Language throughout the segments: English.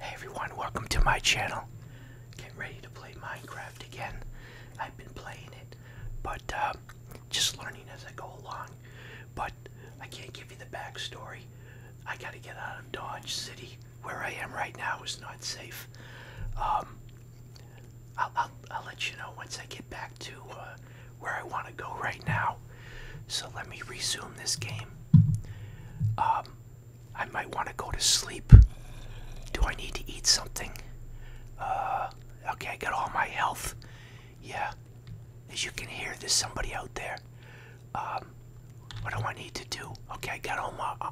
Hey everyone, welcome to my channel. Getting ready to play Minecraft again. I've been playing it, but uh, just learning as I go along. But I can't give you the backstory. I gotta get out of Dodge City. Where I am right now is not safe. Um, I'll, let you know once I get back to uh, where I want to go right now. So let me resume this game. Um, I might want to go to sleep. Do I need to eat something? Uh, okay, I got all my health. Yeah, as you can hear, there's somebody out there. Um, what do I need to do? Okay, I got all my. Uh,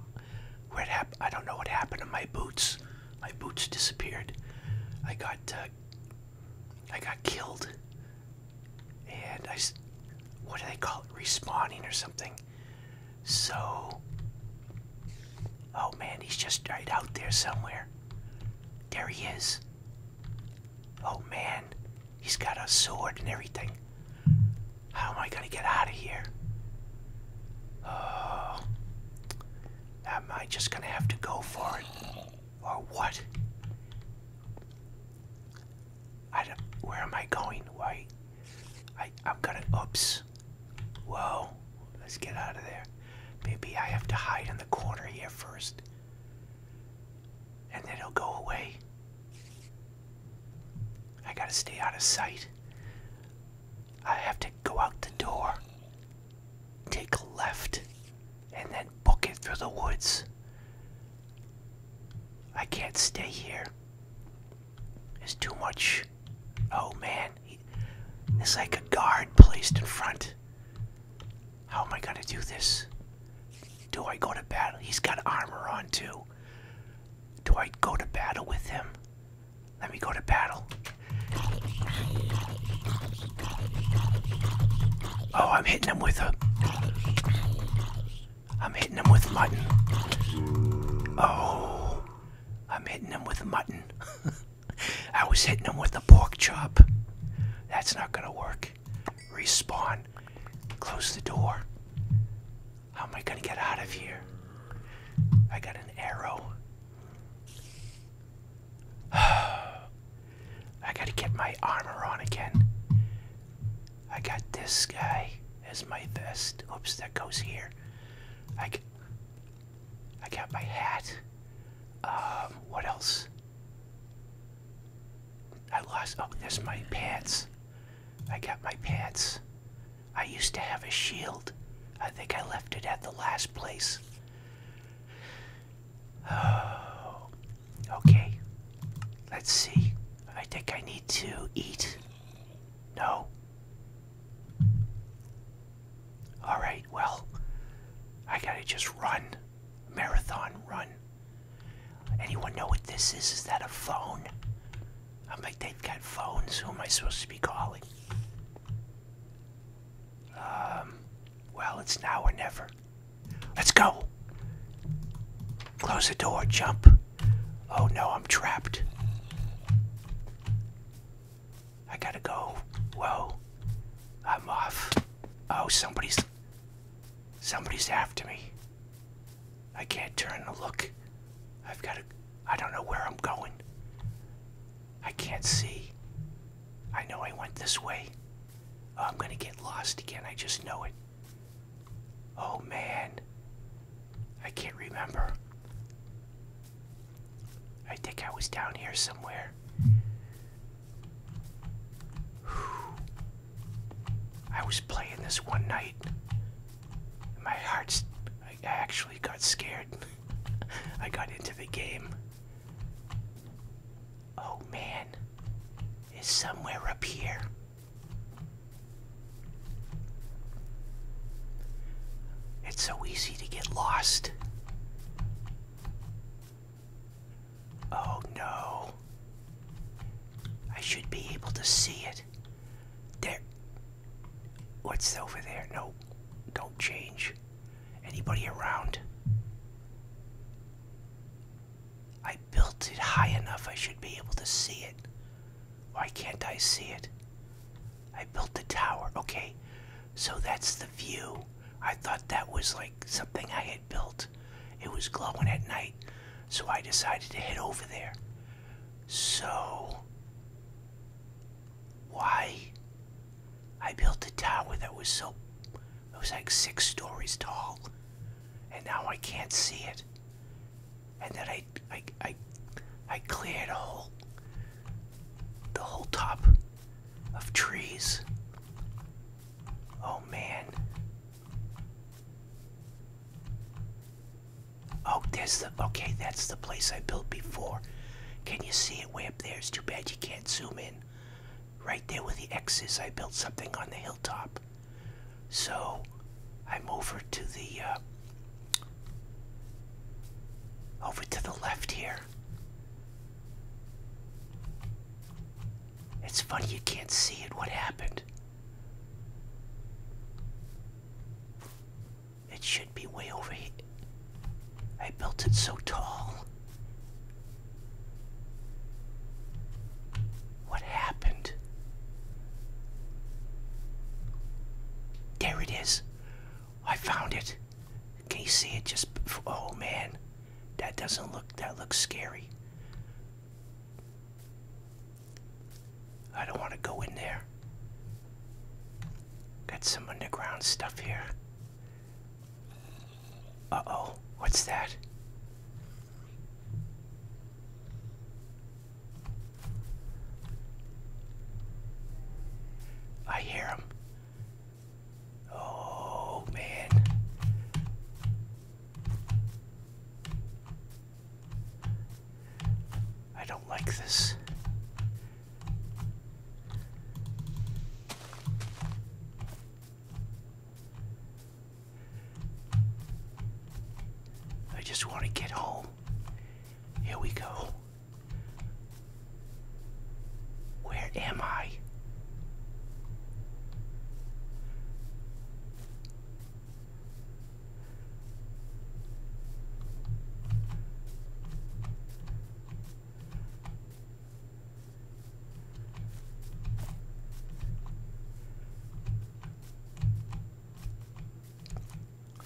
where I don't know what happened to my boots. My boots disappeared. I got. Uh, I got killed and I, what do they call it, respawning or something. So, oh man, he's just right out there somewhere. There he is. Oh man, he's got a sword and everything. How am I gonna get out of here? Oh, am I just gonna have to go for it? Or what? I don't, where am I going? Why? I, I'm gonna, oops. Whoa, let's get out of there. Maybe I have to hide in the corner here first. And then it'll go away. I gotta stay out of sight. I have to go out the door, take a left, and then book it through the woods. I can't stay here. There's too much. Oh man, he, there's like a guard placed in front. How am I gonna do this? Do I go to battle? He's got armor on too. Do I go to battle with him? Let me go to battle. Oh, I'm hitting him with a. I'm hitting him with mutton. Oh, I'm hitting him with mutton. I was hitting him with the pork chop. That's not gonna work. Respawn. Close the door. How am I gonna get out of here? I got an arrow. I gotta get my armor on again. I got this guy as my vest. Oops, that goes here. I, I got my hat. Um, what else? I lost. Oh, there's my pants. I got my pants. I used to have a shield. I think I left it at the last place. Oh, okay. Let's see. I think I need to eat. No. All right. Well, I gotta just run. Marathon run. Anyone know what this is? Is that a phone? I'm like, they've got phones. Who am I supposed to be calling? Um, well, it's now or never. Let's go. Close the door, jump. Oh no, I'm trapped. I gotta go. Whoa. I'm off. Oh, somebody's. Somebody's after me. I can't turn to look. I've gotta. I don't know where I'm going. I can't see. I know I went this way. Oh, I'm gonna get lost again. I just know it. Oh man, I can't remember. I think I was down here somewhere. I was playing this one night. My heart's. I actually got scared. I got into the game. Oh man is somewhere up here. It's so easy to get lost. Oh no. I should be able to see it. There. What's over there? No. Don't change. Anybody around? I built it high enough I should be able to see it. Why can't I see it? I built the tower. Okay, so that's the view. I thought that was like something I had built. It was glowing at night, so I decided to head over there. So, why? I built a tower that was so it was like six stories tall, and now I can't see it. And then I, I, I, I cleared a whole, the whole top of trees. Oh man. Oh, there's the, okay, that's the place I built before. Can you see it way up there? It's too bad you can't zoom in. Right there where the X is, I built something on the hilltop. So I'm over to the uh, over to the left here. It's funny you can't see it. What happened? It should be way over here. I built it so tall. What happened? There it is. I found it. Can you see it just oh man. That doesn't look that looks scary. I don't want to go in there. Got some underground stuff here. Uh oh, what's that? I hear him. Oh man. I don't like this. I just want to get home. Here we go. Where am I?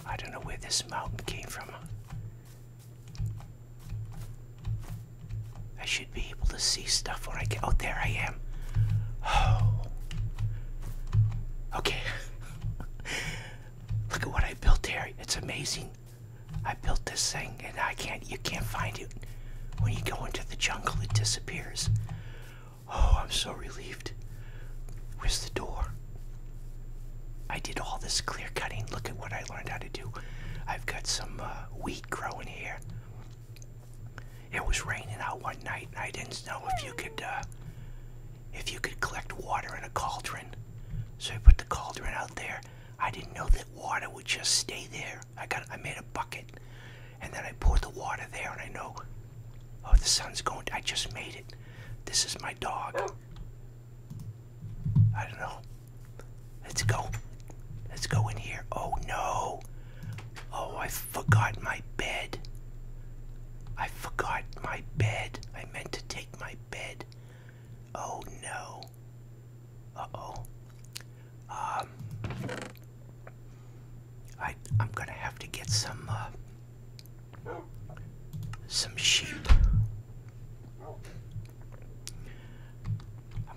I don't know where this mountain came from. I should be able to see stuff when I get. Oh, there I am. Oh. Okay. Look at what I built here. It's amazing. I built this thing and I can't you can't find it. When you go into the jungle, it disappears. Oh, I'm so relieved. Where's the door? I did all this clear cutting. Look at what I learned how to do. I've got some uh, wheat growing here. It was raining out one night, and I didn't know if you could, uh, if you could collect water in a cauldron. So I put the cauldron out there. I didn't know that water would just stay there. I got I made a bucket and then I poured the water there and I know oh the sun's going I just made it. This is my dog. I don't know. Let's go. Let's go in here. Oh no. Oh, I forgot my bed. I forgot my bed. I meant to take my bed. Oh no. Uh oh. Um, I am gonna have to get some uh, some sheep. I'm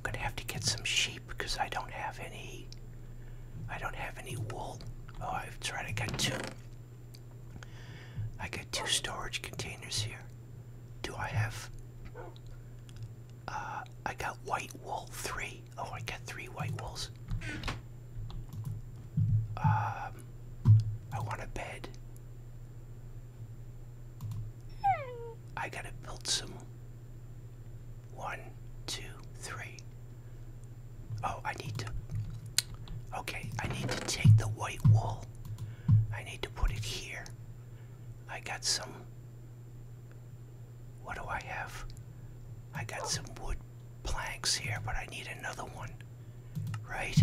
gonna have to get some sheep because I don't have any. I don't have any wool. Oh, I've tried. to get two. I got two storage containers here. Do I have? Uh, I got white wool three. Oh, I got three white wools. Um, I want a bed. I gotta build some. One, two, three. Oh, I need to. Okay, I need to take the white wool. I need to put it here. I got some what do I have? I got some wood planks here, but I need another one, right?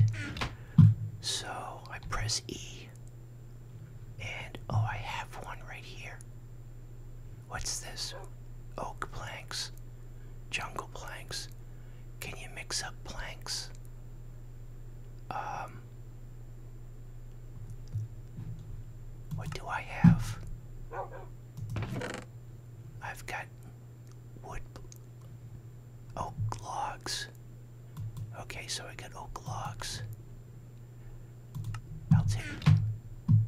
So I press E, and oh, I have one right here. What's this? Oak planks, jungle planks. Can you mix up planks? Um, what do I have? I've got wood, oak logs. Okay, so I got oak logs. I'll take,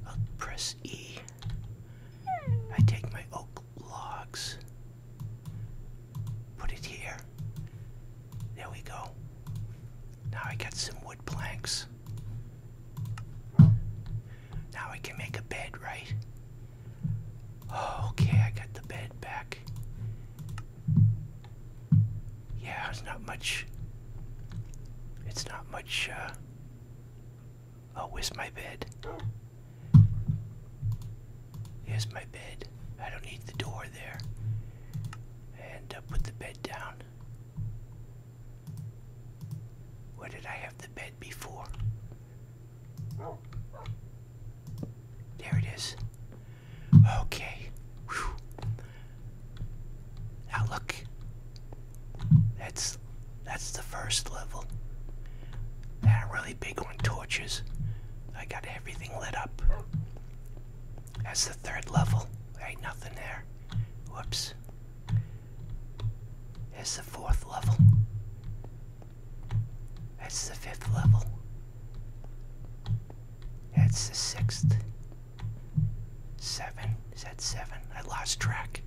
I'll press E. I take my oak logs, put it here. There we go. Now I got some wood planks. Now we can make a bed, right? Oh, okay, I got the bed back. Yeah, it's not much. It's not much, uh. Oh, where's my bed? Here's my bed. I don't need the door there. And I uh, put the bed down. Where did I have the bed before? Oh. There it is. Okay. Now look. That's that's the first level. Now really big on torches. I got everything lit up. That's the third level. There ain't nothing there. Whoops. That's the fourth level. That's the fifth level. That's the sixth. Seven. Is that seven? I lost track.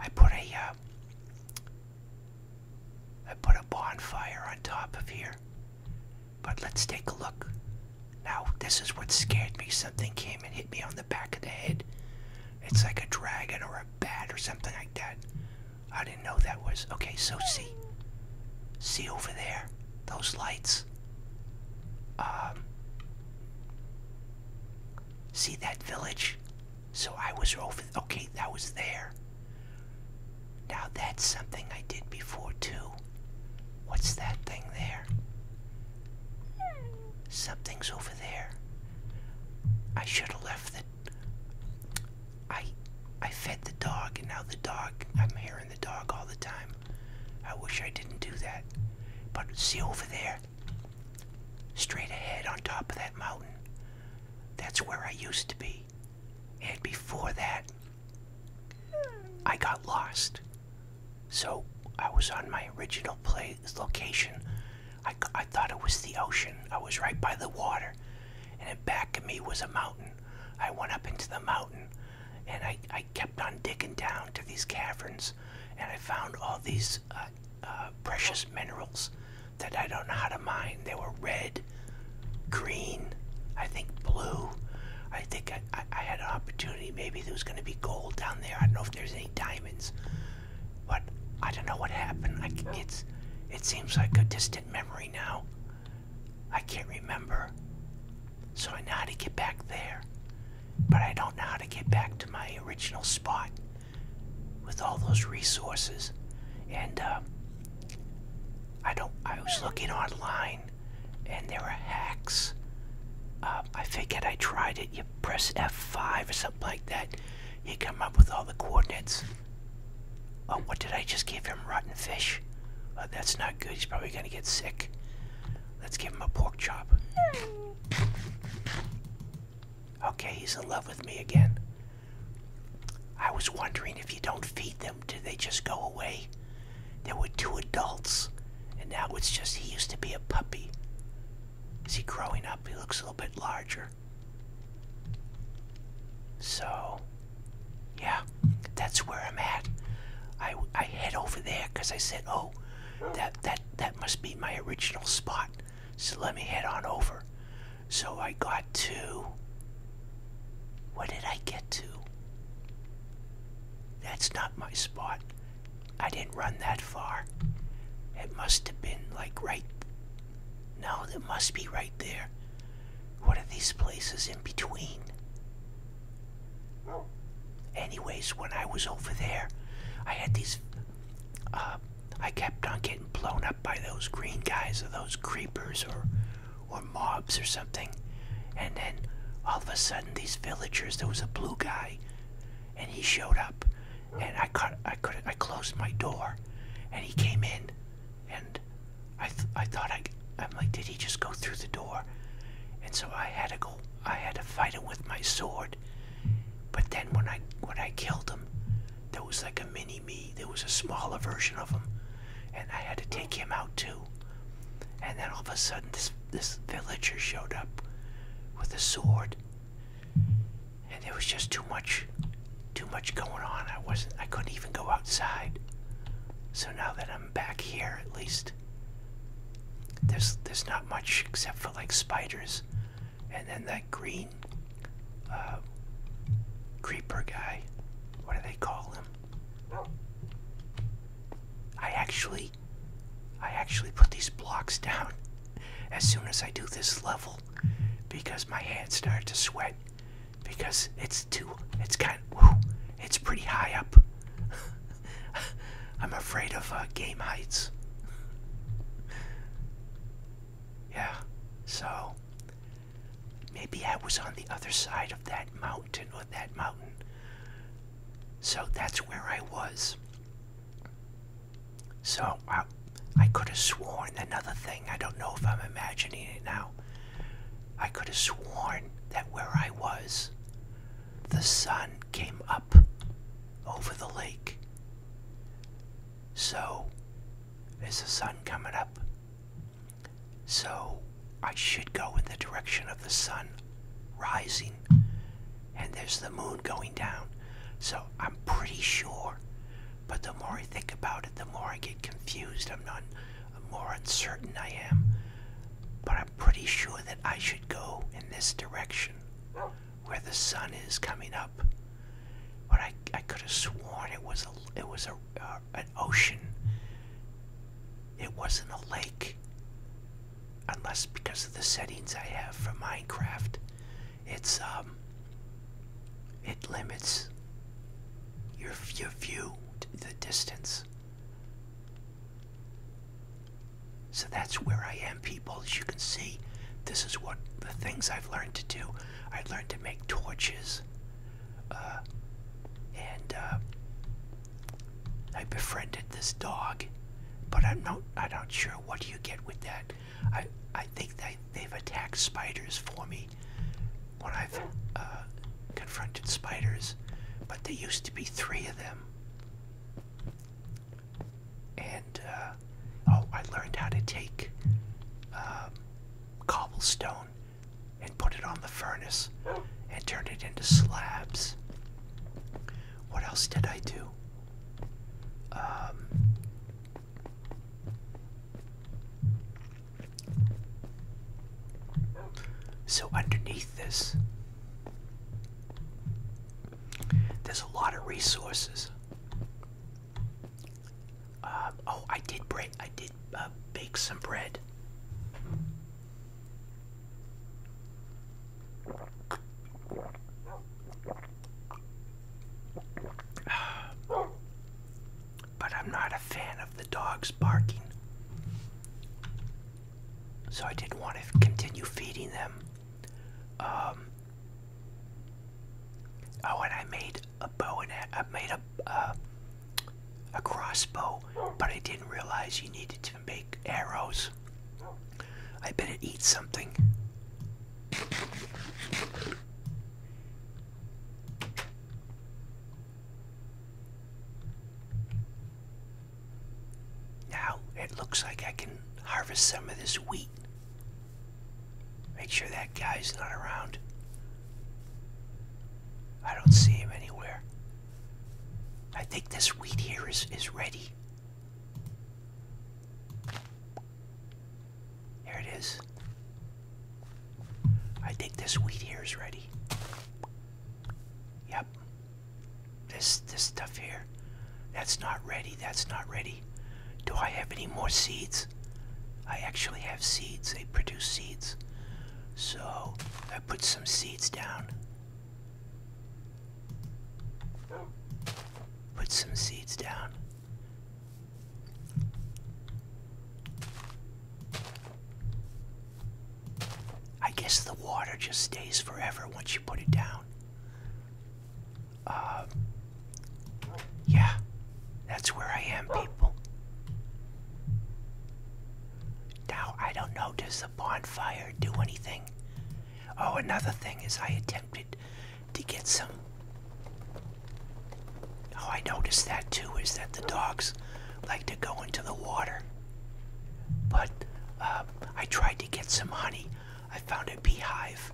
I put a, uh, I put a bonfire on top of here. But let's take a look. Now, this is what scared me. Something came and hit me on the back of the head. It's like a dragon or a bat or something like that. I didn't know that was. Okay, so see. See over there? Those lights? Um. See that village? So I was over. Okay, that was there. Now, that's something I did before, too. What's that thing there? Something's over there. I should have left it. I, I fed the dog, and now the dog. I'm hearing the dog all the time. I wish I didn't do that. But see over there, straight ahead on top of that mountain. That's where I used to be. And before that, I got lost. So I was on my original place location. I, I thought it was the ocean. I was right by the water. And in back of me was a mountain. I went up into the mountain and I, I kept on digging down to these caverns and I found all these uh, uh, precious minerals that I don't know how to mine. They were red, green, I think blue. I think I, had an opportunity. Maybe there was going to be gold down there. I don't know if there's any diamonds, but I don't know what happened. I, it's, it seems like a distant memory now. I can't remember. So I know how to get back there, but I don't know how to get back to my original spot with all those resources. And uh, I don't. I was looking online and there are hacks. Um, I forget. I tried it. You press F5 or something like that. You come up with all the coordinates. Oh, what did I just give him? Rotten fish? Oh, that's not good. He's probably going to get sick. Let's give him a pork chop. Okay, he's in love with me again. I was wondering if you don't feed them. Did they just go away? There were two adults, and now it's just he used to be a puppy. Is he growing up? He looks a little bit larger. So, yeah, that's where I'm at. I, I head over there because I said, oh, that, that, that must be my original spot. So let me head on over. So I got to. Where did I get to? That's not my spot. I didn't run that far. It must have been like right. No, that must be right there. What are these places in between? Anyways, when I was over there, I had these. Uh, I kept on getting blown up by those green guys or those creepers or or mobs or something. And then all of a sudden, these villagers. There was a blue guy, and he showed up, and I cut. I could. I closed my door, and he came in, and I. I thought I. I'm like, did he just go through the door? And so I had to go. I had to fight him with my sword. But then when I when I killed him, there was like a mini me. There was a smaller version of him, and I had to take him out too. And then all of a sudden, this this villager showed up with a sword, and it was just too much, too much going on. I wasn't, I couldn't even go outside. So now that I'm back here, at least there's there's not much except for like spiders, and then that green uh, creeper guy. What do they call him? I actually I actually put these blocks down as soon as I do this level because my hands start to sweat because it's too it's kind it's pretty high up. I'm afraid of uh, game heights. Yeah. So maybe I was on the other side of that mountain mountain or that mountain. So that's where I was. So I, I could have sworn another thing, I don't know if I'm imagining it now. I could have sworn that where I was, the sun came up over the lake. So, is the sun coming up? So I should go in the direction of the sun rising, and there's the moon going down. So I'm pretty sure, but the more I think about it, the more I get confused. I'm not more uncertain I am, but I'm pretty sure that I should go in this direction where the sun is coming up. But I, I could have sworn it was a it was a uh, ocean. It wasn't a lake. Unless because of the settings I have for Minecraft, it's um it limits your your view the distance. So that's where I am, people. As you can see, this is what the things I've learned to do. I learned to make torches, uh, and uh, I befriended this dog, but I'm not I'm not sure what you get with that. I I think they they've attacked spiders for me when I've uh, confronted spiders, but there used to be three of them. And uh, oh, I learned how to take um, cobblestone and put it on the furnace and turn it into slabs. What else did I do? Um, so underneath this, there's a lot of resources. Um, oh, I did break. I did uh, bake some bread. But I'm not a fan of the dogs barking. So I didn't want to continue feeding them. Um, oh, and I made a bow and I made a uh, a crossbow, but I didn't realize you needed to make arrows. I better eat something. Now it looks like I can harvest some of this wheat. Make sure that guy's not around. I don't see him anywhere. I think this wheat here is, is ready. Here it is. I think this wheat here is ready. Yep. This this stuff here. That's not ready. That's not ready. Do I have any more seeds? I actually have seeds. They produce seeds. So put some seeds down. Put some seeds down. I guess the water just stays forever once you put it down. Uh, yeah, that's where I am, people. Now, I don't know, does the bonfire do anything? Oh, another thing is I attempted to get some. Oh, I noticed that too, is that the dogs like to go into the water. But um, I tried to get some honey. I found a beehive,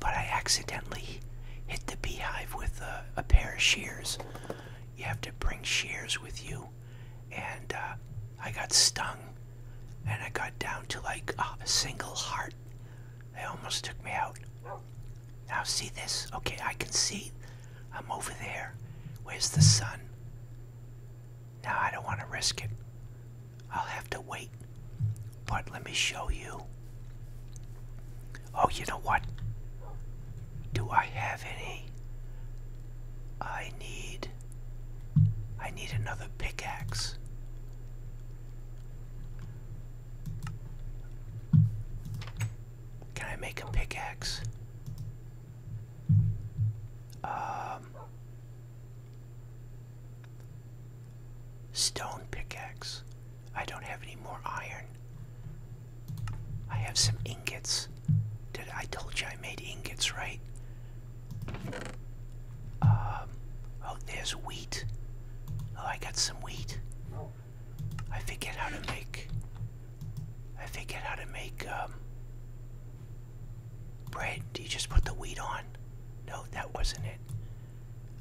but I accidentally hit the beehive with a pair of shears. You have to bring shears with you and uh, I got stung, and I got down to like a single heart. They almost took me out. Now see this? Okay, I can see. I'm over there. Where's the sun? Now I don't want to risk it. I'll have to wait. But let me show you. Oh, you know what? Do I have any? I need. I need another pickaxe. Can I make a pickaxe? Um. Stone pickaxe. I don't have any more iron. I have some ingots. Did I told you I made ingots, right? Um, oh, there's wheat. Oh, I got some wheat. Oh. I forget how to make. I forget how to make um, bread. Do you just put the wheat on? No, that wasn't it.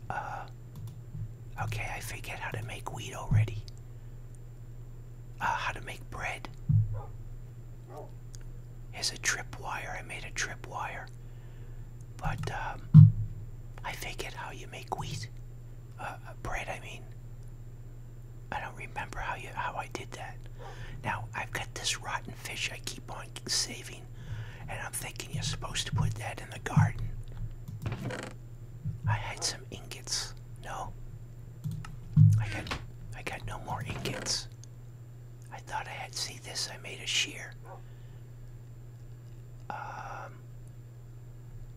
Uh, okay, I forget how to make wheat already. Uh, how to make bread. Here's a tripwire. I made a tripwire, but um, I figured how you make wheat uh, uh, bread. I mean, I don't remember how you how I did that. Now I've got this rotten fish I keep on saving, and I'm thinking you're supposed to put that in the garden. I had some ingots. No, I got I got no more ingots. I thought I had see this I made a shear. Um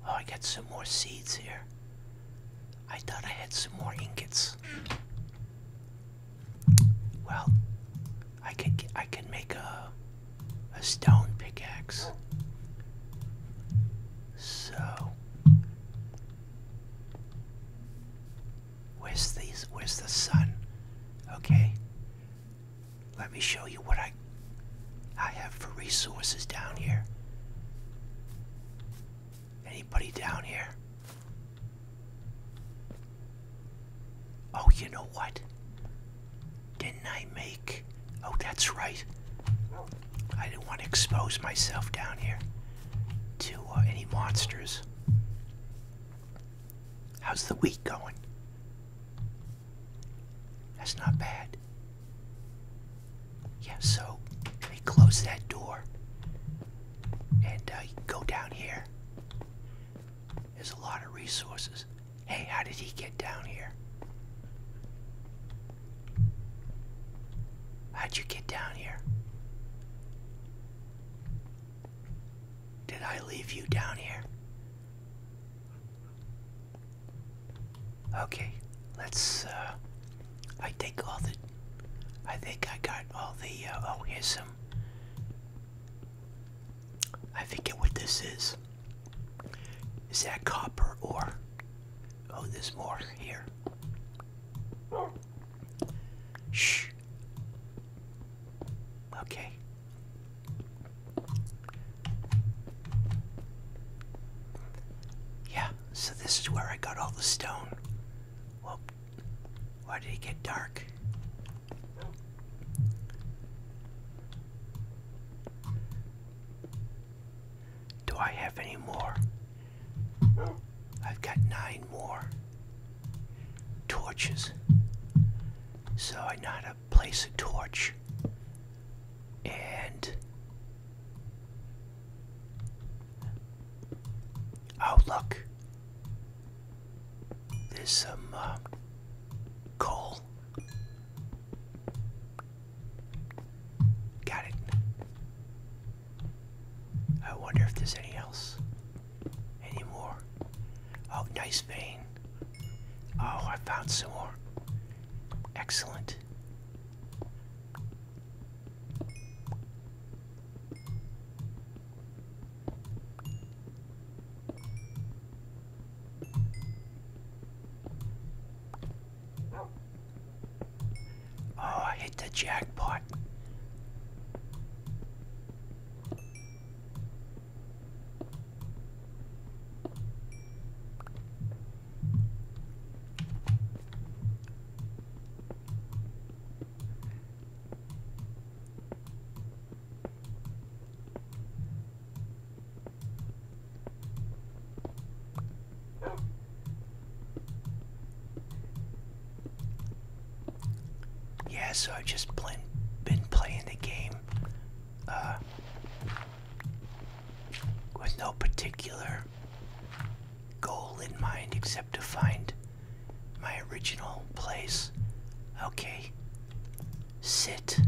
Oh I got some more seeds here. I thought I had some more ingots. Well, I could I could make a a stone pickaxe. So Where's these? Where's the sun? Okay. Let me show you what I I have for resources down here. Anybody down here? Oh, you know what? Didn't I make? Oh, that's right. I didn't want to expose myself down here to uh, any monsters. How's the week going? That's not bad. Yeah, so let close that door and uh, go down here. There's a lot of resources. Hey, how did he get down here? How'd you get down here? Did I leave you down here? Okay, let's, uh, I think all the, I think I got all the, uh, oh, here's some, I forget what this is. Is that copper ore? Oh, there's more here. Shh. Okay. Yeah, so this is where I got all the stone. Well, why did it get dark? Do I have any more? I've got nine more torches. So I know how to place a torch and oh look there's some um, coal got it I wonder if there's any else. Any more? Oh, nice vein. Oh, I found some more. Excellent. Oh, I hit the jackpot. Yeah, so i just been, been playing the game uh, with no particular goal in mind except to find my original place. Okay, sit.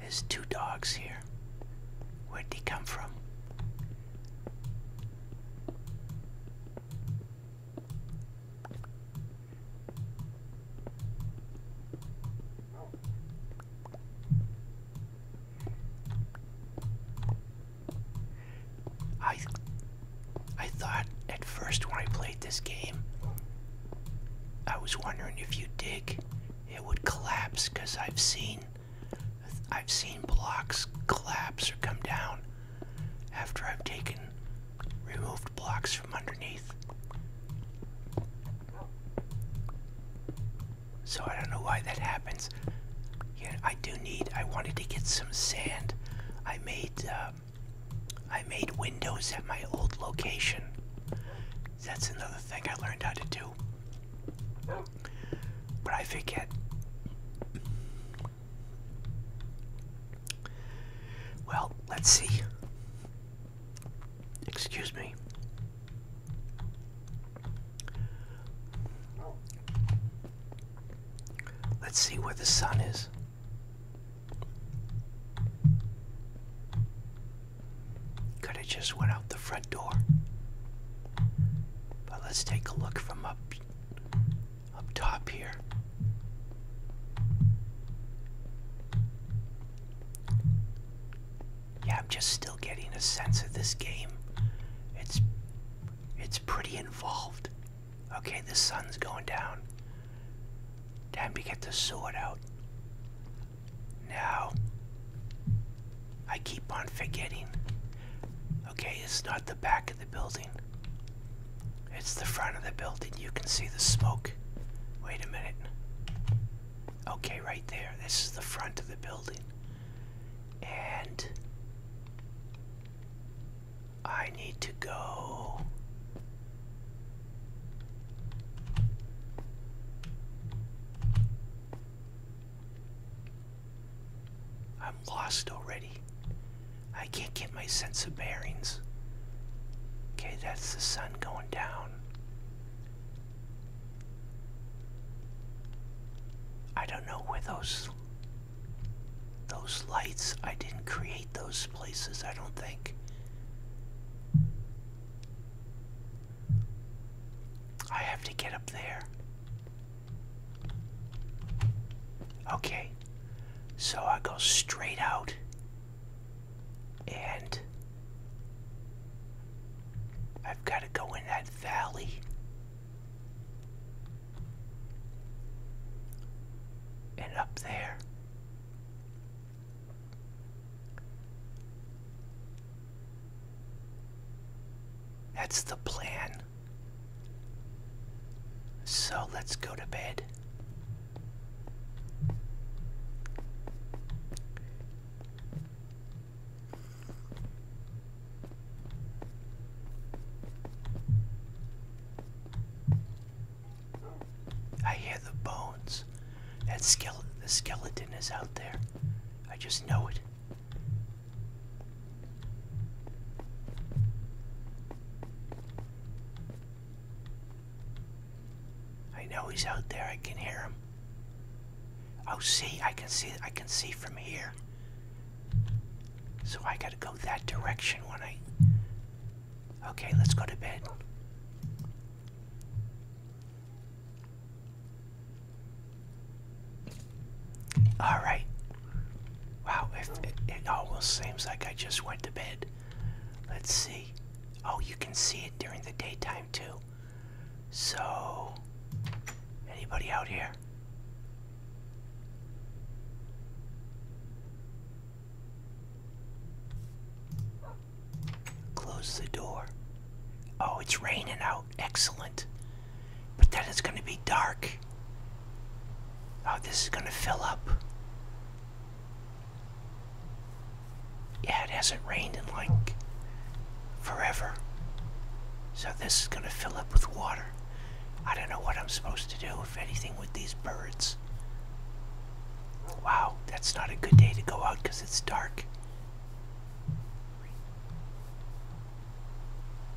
There's two dogs here. Where'd they come from? I I thought at first when I played this game I was wondering if you dig it would collapse cuz I've seen I've seen blocks collapse or come down after I've taken removed blocks from underneath. So I don't know why that happens. Yeah, I do need. I wanted to get some sand. I made. Um, I made windows at my old location. That's another thing I learned how to do. But I forget. Well, let's see. Excuse me. Let's see where the sun is. Could have just went out the front door. But let's take a look from up up top here. Yeah, I'm just still getting a sense of this game. It's it's pretty involved. Okay, the sun's going down. Time to get the sword out. Now, I keep on forgetting. Okay, it's not the back of the building. It's the front of the building. You can see the smoke. Wait a minute. Okay, right there. This is the front of the building. And I need to go. I'm lost already. I can't get my sense of bearings. Okay, that's the sun going down. I don't know where those those lights, I didn't create those places, I don't think. I have to get up there. Okay, so I go straight out and I've got to go in that valley. And up there. That's the plan. So let's go to bed. I hear the bones. That skeleton, the skeleton is out there. I just know it. I know he's out there. I can hear him. Oh, see, I can see. I can see from here. So I gotta go that direction when I. Okay, let's go to bed. All right. Wow, it, it almost seems like I just went to bed. Let's see. Oh, you can see it during the daytime too. So, anybody out here? Close the door. Oh, it's raining out. Excellent. But then it's going to be dark. Oh, this is going to fill up. Yeah, it hasn't rained in like forever. So this is going to fill up with water. I don't know what I'm supposed to do, if anything, with these birds. Wow, that's not a good day to go out because it's dark.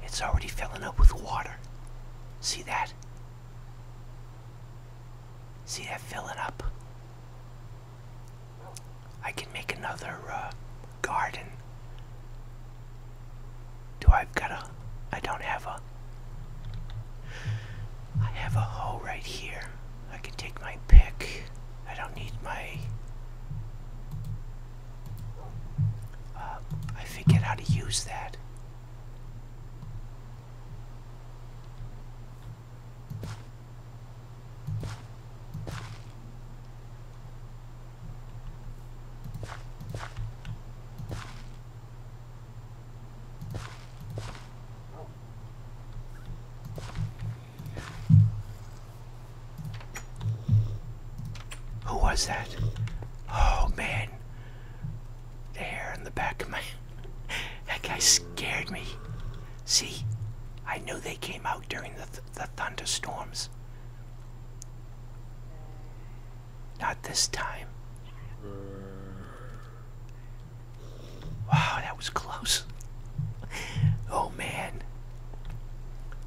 It's already filling up with water. See that? See that filling up? I can make another uh, garden. Do I've got a? I don't have a. I have a hoe right here. I can take my pick. I don't need my uh, I forget how to use that. Who was that? Oh man. The hair on the back of my. that guy scared me. See? I knew they came out during the, the thunderstorms. Not this time. Wow, that was close. Oh man.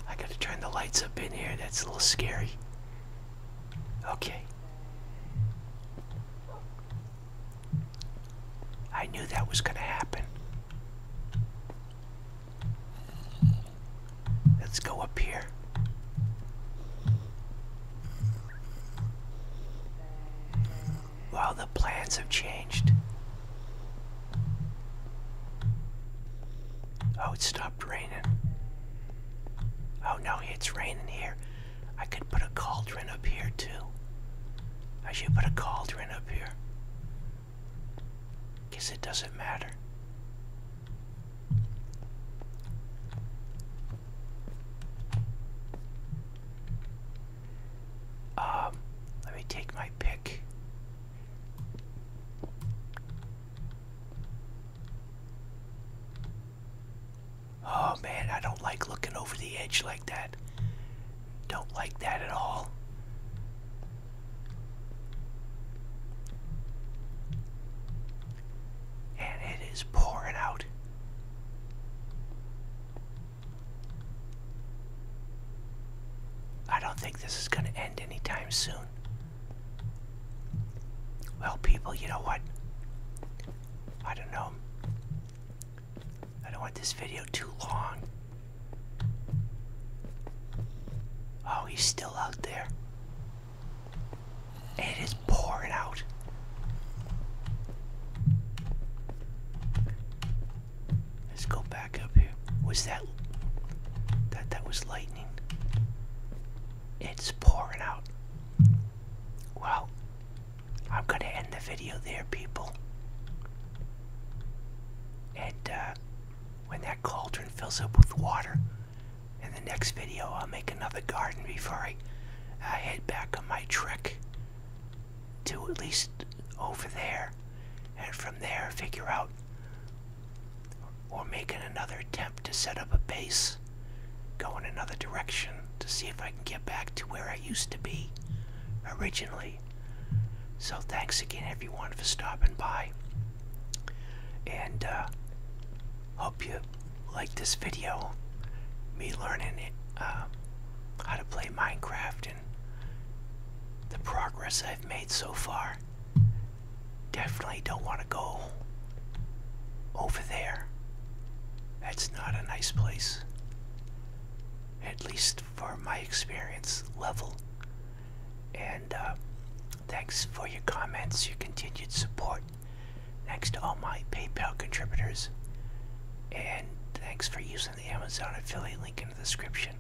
I gotta turn the lights up in here. That's a little scary. Okay. I knew that was gonna happen. Let's go up here. Wow, the plans have changed. Oh, it stopped raining. Oh no, it's raining here. I could put a cauldron up here too. I should put a cauldron up here. Guess it doesn't matter. Um, let me take my pick. Oh man, I don't like looking over the edge like that. Don't like that at all. And it is pouring out. I don't think this is going to end anytime soon. Well, people, you know what? I don't know. I don't want this video too long. Oh, he's still out there. It is pouring out. Let's go back up here. Was that that that was lightning? It's pouring out. Well, I'm gonna end the video there, people. And uh, when that cauldron fills up with water, in the next video I'll make another garden before I uh, head back on my trek to at least over there, and from there figure out or making another attempt to set up a base, go in another direction to see if I can get back to where I used to be originally. So thanks again everyone for stopping by. And uh, hope you like this video, me learning it, uh, how to play Minecraft and the progress I've made so far. Definitely don't want to go over there. That's not a nice place. At least for my experience level. And uh, thanks for your comments, your continued support. Thanks to all my PayPal contributors. And thanks for using the Amazon affiliate link in the description.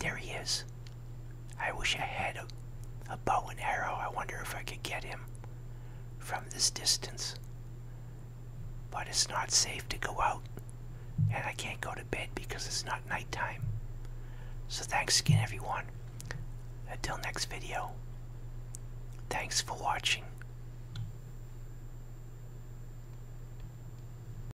There he is. I wish I had a, bow and arrow. I wonder if I could get him from this distance. But it's not safe to go out, and I can't go to bed because it's not nighttime. So thanks again, everyone. Until next video, thanks for watching.